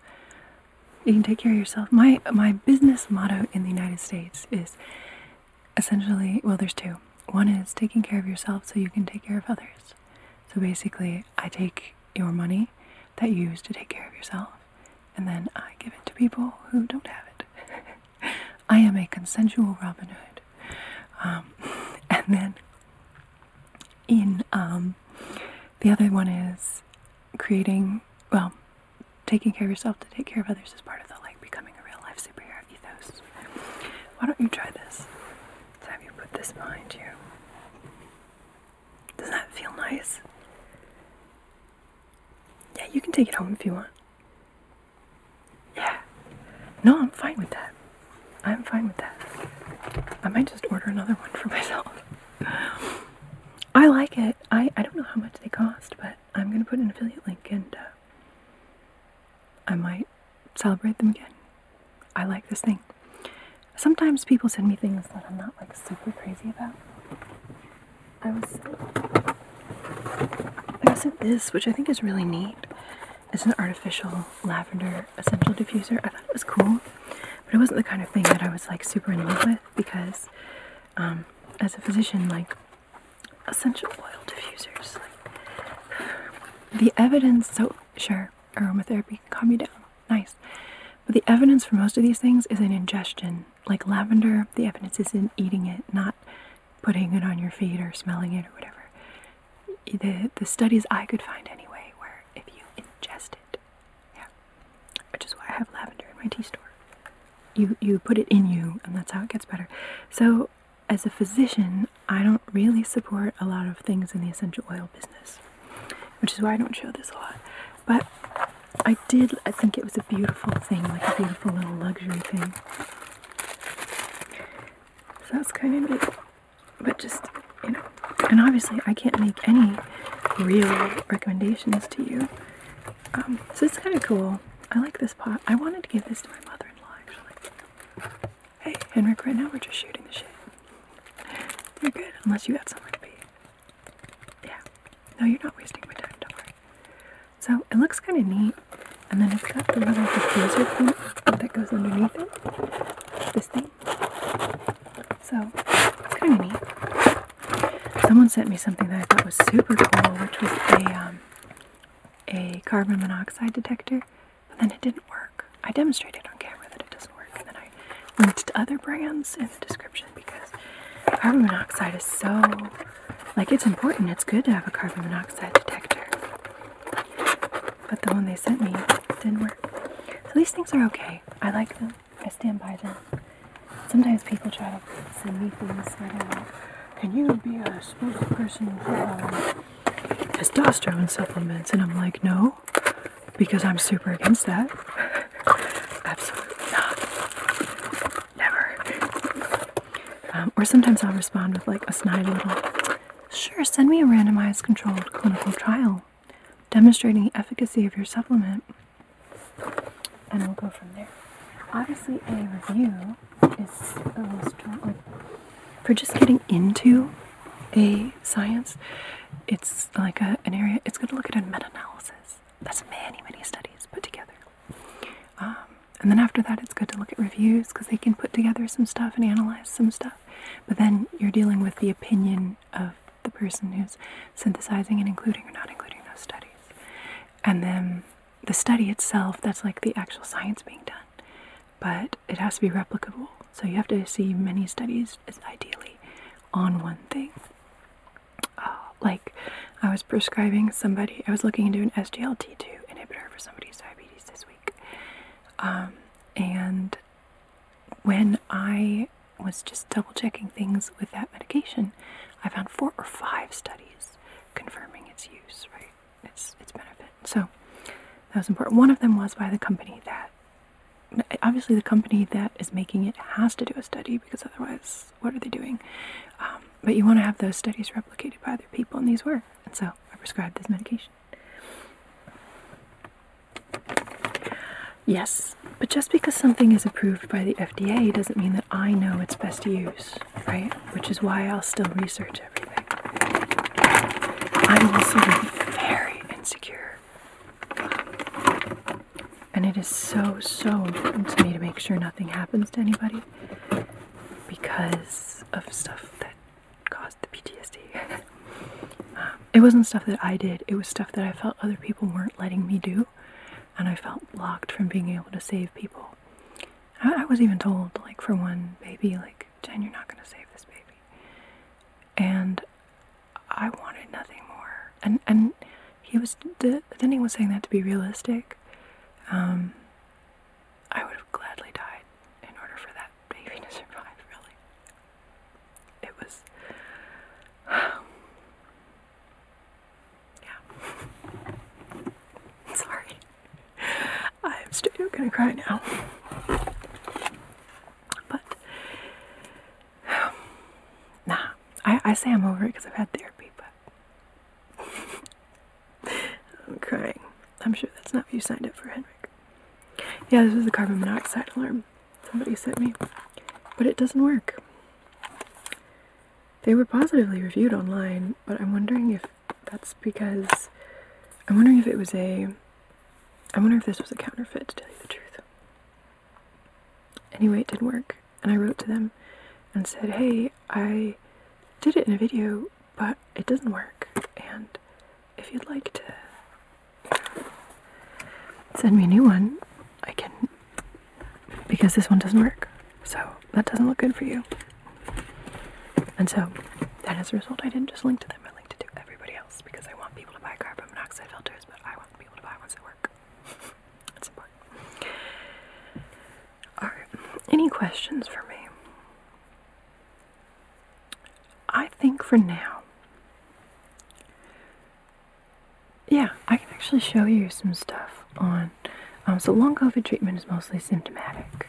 You can take care of yourself. My my business motto in the United States is essentially well there's two. One is taking care of yourself so you can take care of others. So basically, I take your money that you use to take care of yourself and then I give it to people who don't have it. <laughs> I am a consensual Robin Hood. Um, <laughs> and then in um, the other one is creating, well, taking care of yourself to take care of others is part of the like becoming a real life superhero ethos. Why don't you try this? Let's have you put this behind you. Doesn't that feel nice? Yeah, you can take it home if you want. Yeah. No, I'm fine with that. I'm fine with that. I might just order another one for <laughs> myself. I like it. I, I don't know how much they cost, but I'm going to put an affiliate link and uh, I might celebrate them again. I like this thing. Sometimes people send me things that I'm not like super crazy about. I was I sent this, which I think is really neat. It's an artificial lavender essential diffuser. I thought it was cool. But it wasn't the kind of thing that I was like super in love with because, um, as a physician, like essential oil diffusers, like <sighs> the evidence. So sure, aromatherapy can calm you down, nice. But the evidence for most of these things is in ingestion. Like lavender, the evidence is in eating it, not putting it on your feet or smelling it or whatever. The, the studies I could find anyway where if you ingest it, yeah, which is why I have lavender in my tea store. You you put it in you, and that's how it gets better. So, as a physician, I don't really support a lot of things in the essential oil business, which is why I don't show this a lot. But I did. I think it was a beautiful thing, like a beautiful little luxury thing. So that's kind of neat. But just you know, and obviously I can't make any real recommendations to you. Um, so it's kind of cool. I like this pot. I wanted to give this to my mother-in-law actually. Hey, Henrik, right now we're just shooting the shit. You're good, unless you got somewhere to be. Yeah. No, you're not wasting my time, don't worry. So it looks kind of neat. And then it's got the little diffuser thing that goes underneath it. This thing. So it's kind of neat. Someone sent me something that I thought was super cool, which was a um, a carbon monoxide detector, but then it didn't work. I demonstrated on camera that it doesn't work, and then I linked to other brands in the description because carbon monoxide is so like it's important. It's good to have a carbon monoxide detector, but the one they sent me didn't work. So these things are okay. I like them. I stand by them. Sometimes people try to send me things that are like, can you be a spokesperson for um, testosterone supplements? And I'm like, no, because I'm super against that. Absolutely not. Never. Um, or sometimes I'll respond with like a snide little, sure, send me a randomized controlled clinical trial article demonstrating efficacy of your supplement, and we'll go from there. Obviously, a review is for just getting into a science, it's like a, an area. It's going to look at a meta-analysis. That's many, many studies put together. Um, and then after that, it's good to look at reviews because they can put together some stuff and analyze some stuff. But then you're dealing with the opinion of the person who's synthesizing and including or not including those studies. And then the study itself, that's like the actual science being done, but it has to be replicable. So you have to see many studies, ideally, on one thing. Uh, like, I was prescribing somebody, I was looking into an SGLT2 inhibitor for somebody's diabetes this week. Um, and when I was just double checking things with that medication, I found four or five studies confirming its use, right? Its its benefit. So that was important. One of them was by the company that obviously the company that is making it has to do a study because otherwise, what are they doing? Um, but you want to have those studies replicated by other people, and these were. And so I prescribed this medication. Yes, but just because something is approved by the FDA doesn't mean that I know its best use, right? Which is why I'll still research everything. I'm also very insecure. And it is so, so important to me to make sure nothing happens to anybody because of stuff that caused the PTSD. <laughs> Um, it wasn't stuff that I did, it was stuff that I felt other people weren't letting me do, and I felt blocked from being able to save people. I, was even told, like, for one baby, like, Jen, you're not going to save this baby. And I wanted nothing more. And, he was, the, then he was saying that to be realistic. Um, I would have gladly died in order for that baby to <laughs> survive, really it was <sighs> yeah <laughs> sorry I'm still gonna cry now but <sighs> nah I, I say I'm over it because I've had therapy but <laughs> I'm crying I'm sure that's not what you signed up for Henrik yeah this is the carbon monoxide alarm somebody sent me, but it doesn't work. They were positively reviewed online, but I'm wondering if that's because I'm wondering if it was a I wonder if this was a counterfeit to tell you the truth. Anyway, it didn't work, and I wrote to them and said, "Hey, I did it in a video, but it doesn't work, and if you'd like to send me a new one, I can, because this one doesn't work. So that doesn't look good for you. And so, and as a result, I didn't just link to them, I linked to everybody else because I want people to buy carbon monoxide filters, but I want people to buy ones that work. That's <laughs> important. Alright, any questions for me? I think for now, yeah, I can actually show you some stuff on. Um, so, long COVID treatment is mostly symptomatic.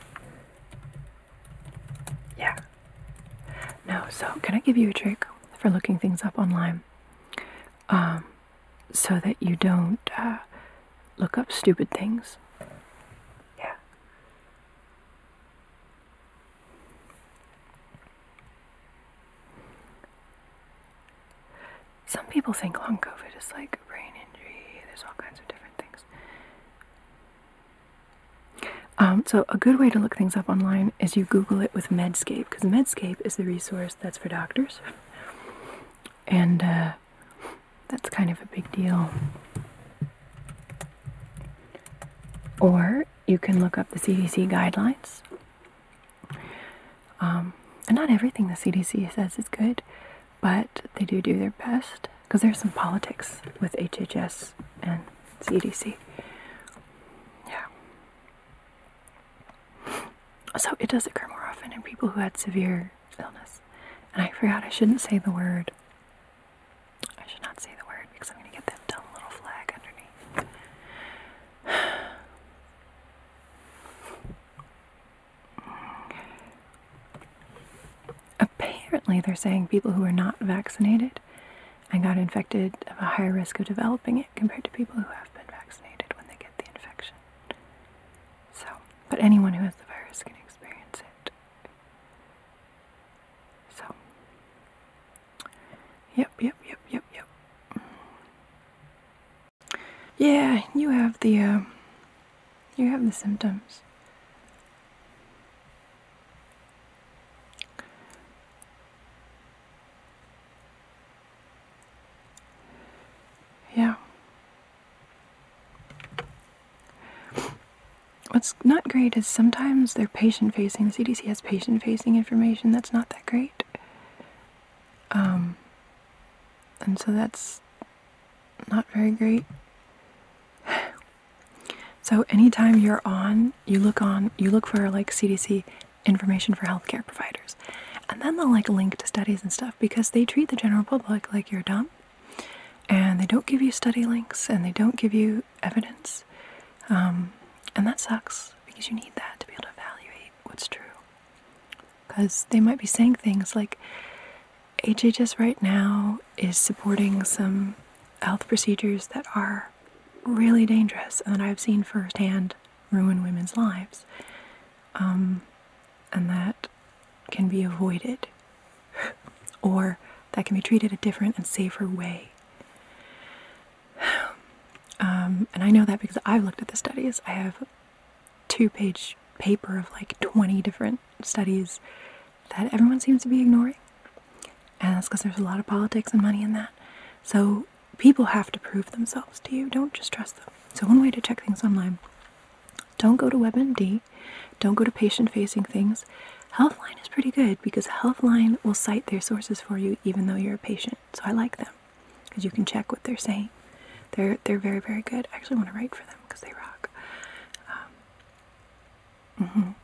Yeah. No, so can I give you a trick for looking things up online? Um, so that you don't uh, look up stupid things? Yeah. Some people think long COVID is like brain injury, there's all kinds of different things. Um, so, a good way to look things up online is you Google it with Medscape, because Medscape is the resource that's for doctors. And uh, that's kind of a big deal. Or you can look up the CDC guidelines um, and not everything the CDC says is good, but they do do their best because there's some politics with HHS and CDC. Yeah. So it does occur more often in people who had severe illness. And I forgot I shouldn't say the word. I should not say the word because I'm going to get that dumb little flag underneath. <sighs> Apparently, they're saying people who are not vaccinated and got infected have a higher risk of developing it compared to people who have been vaccinated when they get the infection. So, but anyone who has the virus can experience it. So, Yep, yep, yep, yep, yep. Yeah, you have the uh, you have the symptoms. Yeah. What's not great is sometimes they're patient facing. CDC has patient facing information that's not that great. Um, and so that's not very great. <sighs> So anytime you're on, you look on, you look for like CDC information for healthcare providers, and then they'll like link to studies and stuff because they treat the general public like you're dumb, and they don't give you study links and they don't give you evidence, um, and that sucks because you need that to be able to evaluate what's true. Because they might be saying things like, HHS right now is supporting some health procedures that are really dangerous and that I've seen firsthand ruin women's lives. Um, and that can be avoided, <laughs> or that can be treated a different and safer way. Um, and I know that because I've looked at the studies. I have two page paper of like 20 different studies that everyone seems to be ignoring. And that's because there's a lot of politics and money in that. So people have to prove themselves to you. Don't just trust them. So, one way to check things online don't go to WebMD, don't go to patient facing things. Healthline is pretty good because Healthline will cite their sources for you even though you're a patient. So I like them because you can check what they're saying. They're they're very very good. I actually want to write for them because they rock. -hmm.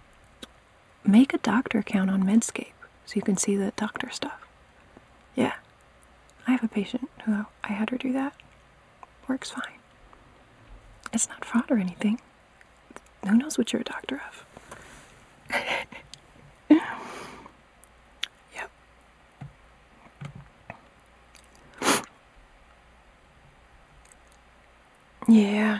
Make a doctor account on Medscape so you can see the doctor stuff. Yeah, I have a patient who I had her do that. Works fine. It's not fraud or anything. Who knows what you're a doctor of? <laughs> Yep. yeah.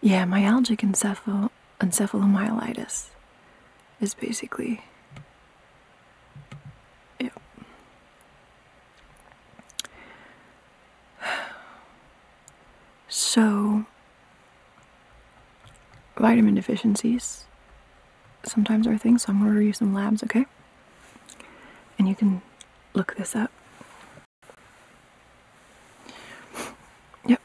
Yeah, myalgic encephal encephalomyelitis is basically it. So, vitamin deficiencies sometimes are things, so I'm going to review some labs, okay? And you can look this up. Yep.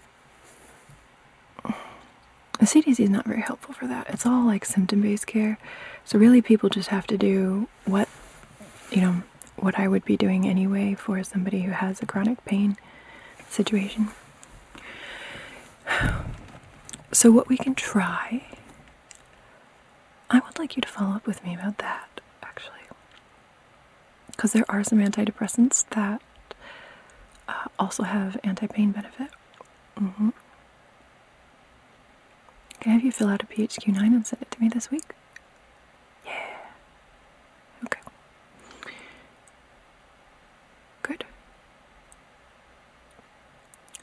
The CDC is not very helpful for that. It's all like symptom based care. So, really, people just have to do what you know what I would be doing anyway for somebody who has a chronic pain situation. <sighs> So, what we can try, I would like you to follow up with me about that actually. Because there are some antidepressants that uh, also have anti pain benefit. Mm Can I have you fill out a PHQ 9 and send it to me this week? Yeah. Okay. Good.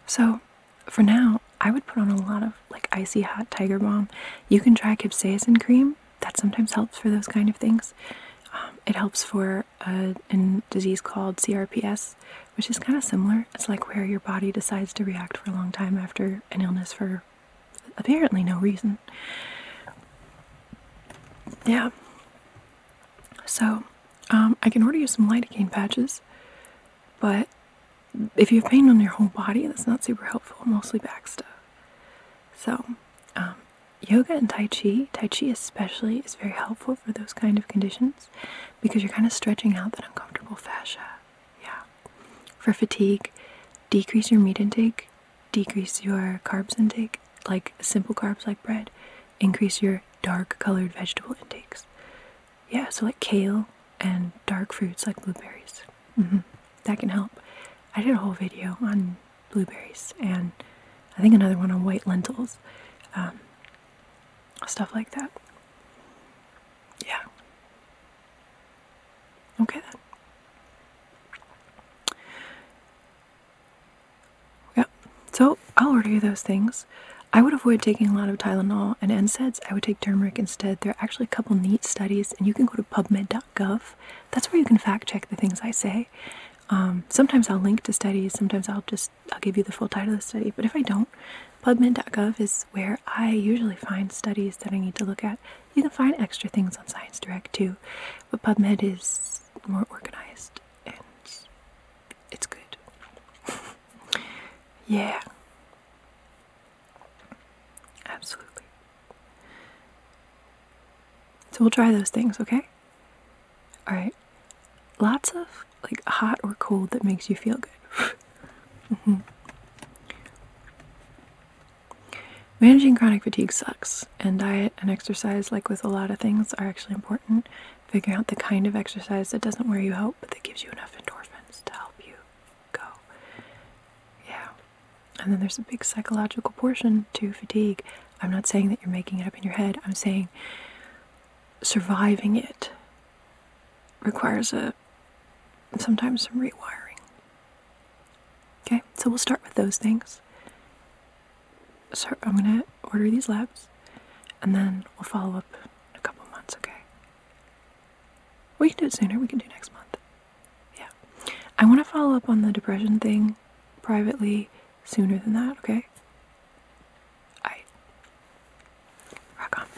So, for now, I would put on a lot of like icy hot tiger balm. You can try capsaicin cream. That sometimes helps for those kind of things. Um, it helps for uh, a disease called CRPS, which is kind of similar. It's like where your body decides to react for a long time after an illness for apparently no reason. Yeah. So, um, I can order you some lidocaine patches, but if you have pain on your whole body, that's not super helpful, mostly back stuff. So, um, yoga and Tai Chi, Tai Chi especially, is very helpful for those kind of conditions because you're kind of stretching out that uncomfortable fascia. Yeah. For fatigue, decrease your meat intake, decrease your carbs intake, like simple carbs like bread, increase your dark colored vegetable intakes. Yeah, so like kale and dark fruits like blueberries. Mm-hmm. That can help. I did a whole video on blueberries and I think another one on white lentils, um, stuff like that. Yeah. Okay Yeah. So I'll order you those things. I would avoid taking a lot of Tylenol and NSAIDs. I would take turmeric instead. There are actually a couple neat studies, and you can go to PubMed.gov. That's where you can fact check the things I say. Um, sometimes I'll link to studies. Sometimes I'll just I'll give you the full title of the study. But if I don't, PubMed.gov is where I usually find studies that I need to look at. You can find extra things on ScienceDirect too, but PubMed is more organized and it's good. <laughs> yeah. Absolutely. So we'll try those things, okay? Alright. Lots of like hot or cold that makes you feel good. <laughs> Mm-hmm. Managing chronic fatigue sucks, and diet and exercise, like with a lot of things, are actually important. Figuring out the kind of exercise that doesn't wear you out but that gives you enough endorphins to help you go. Yeah. And then there's a big psychological portion to fatigue. I'm not saying that you're making it up in your head, I'm saying surviving it requires a sometimes some rewiring. Okay, so we'll start with those things. So I'm gonna order these labs and then we'll follow up in a couple months, okay? We can do it sooner, we can do next month. Yeah. I wanna follow up on the depression thing privately sooner than that, okay? Alright. Rock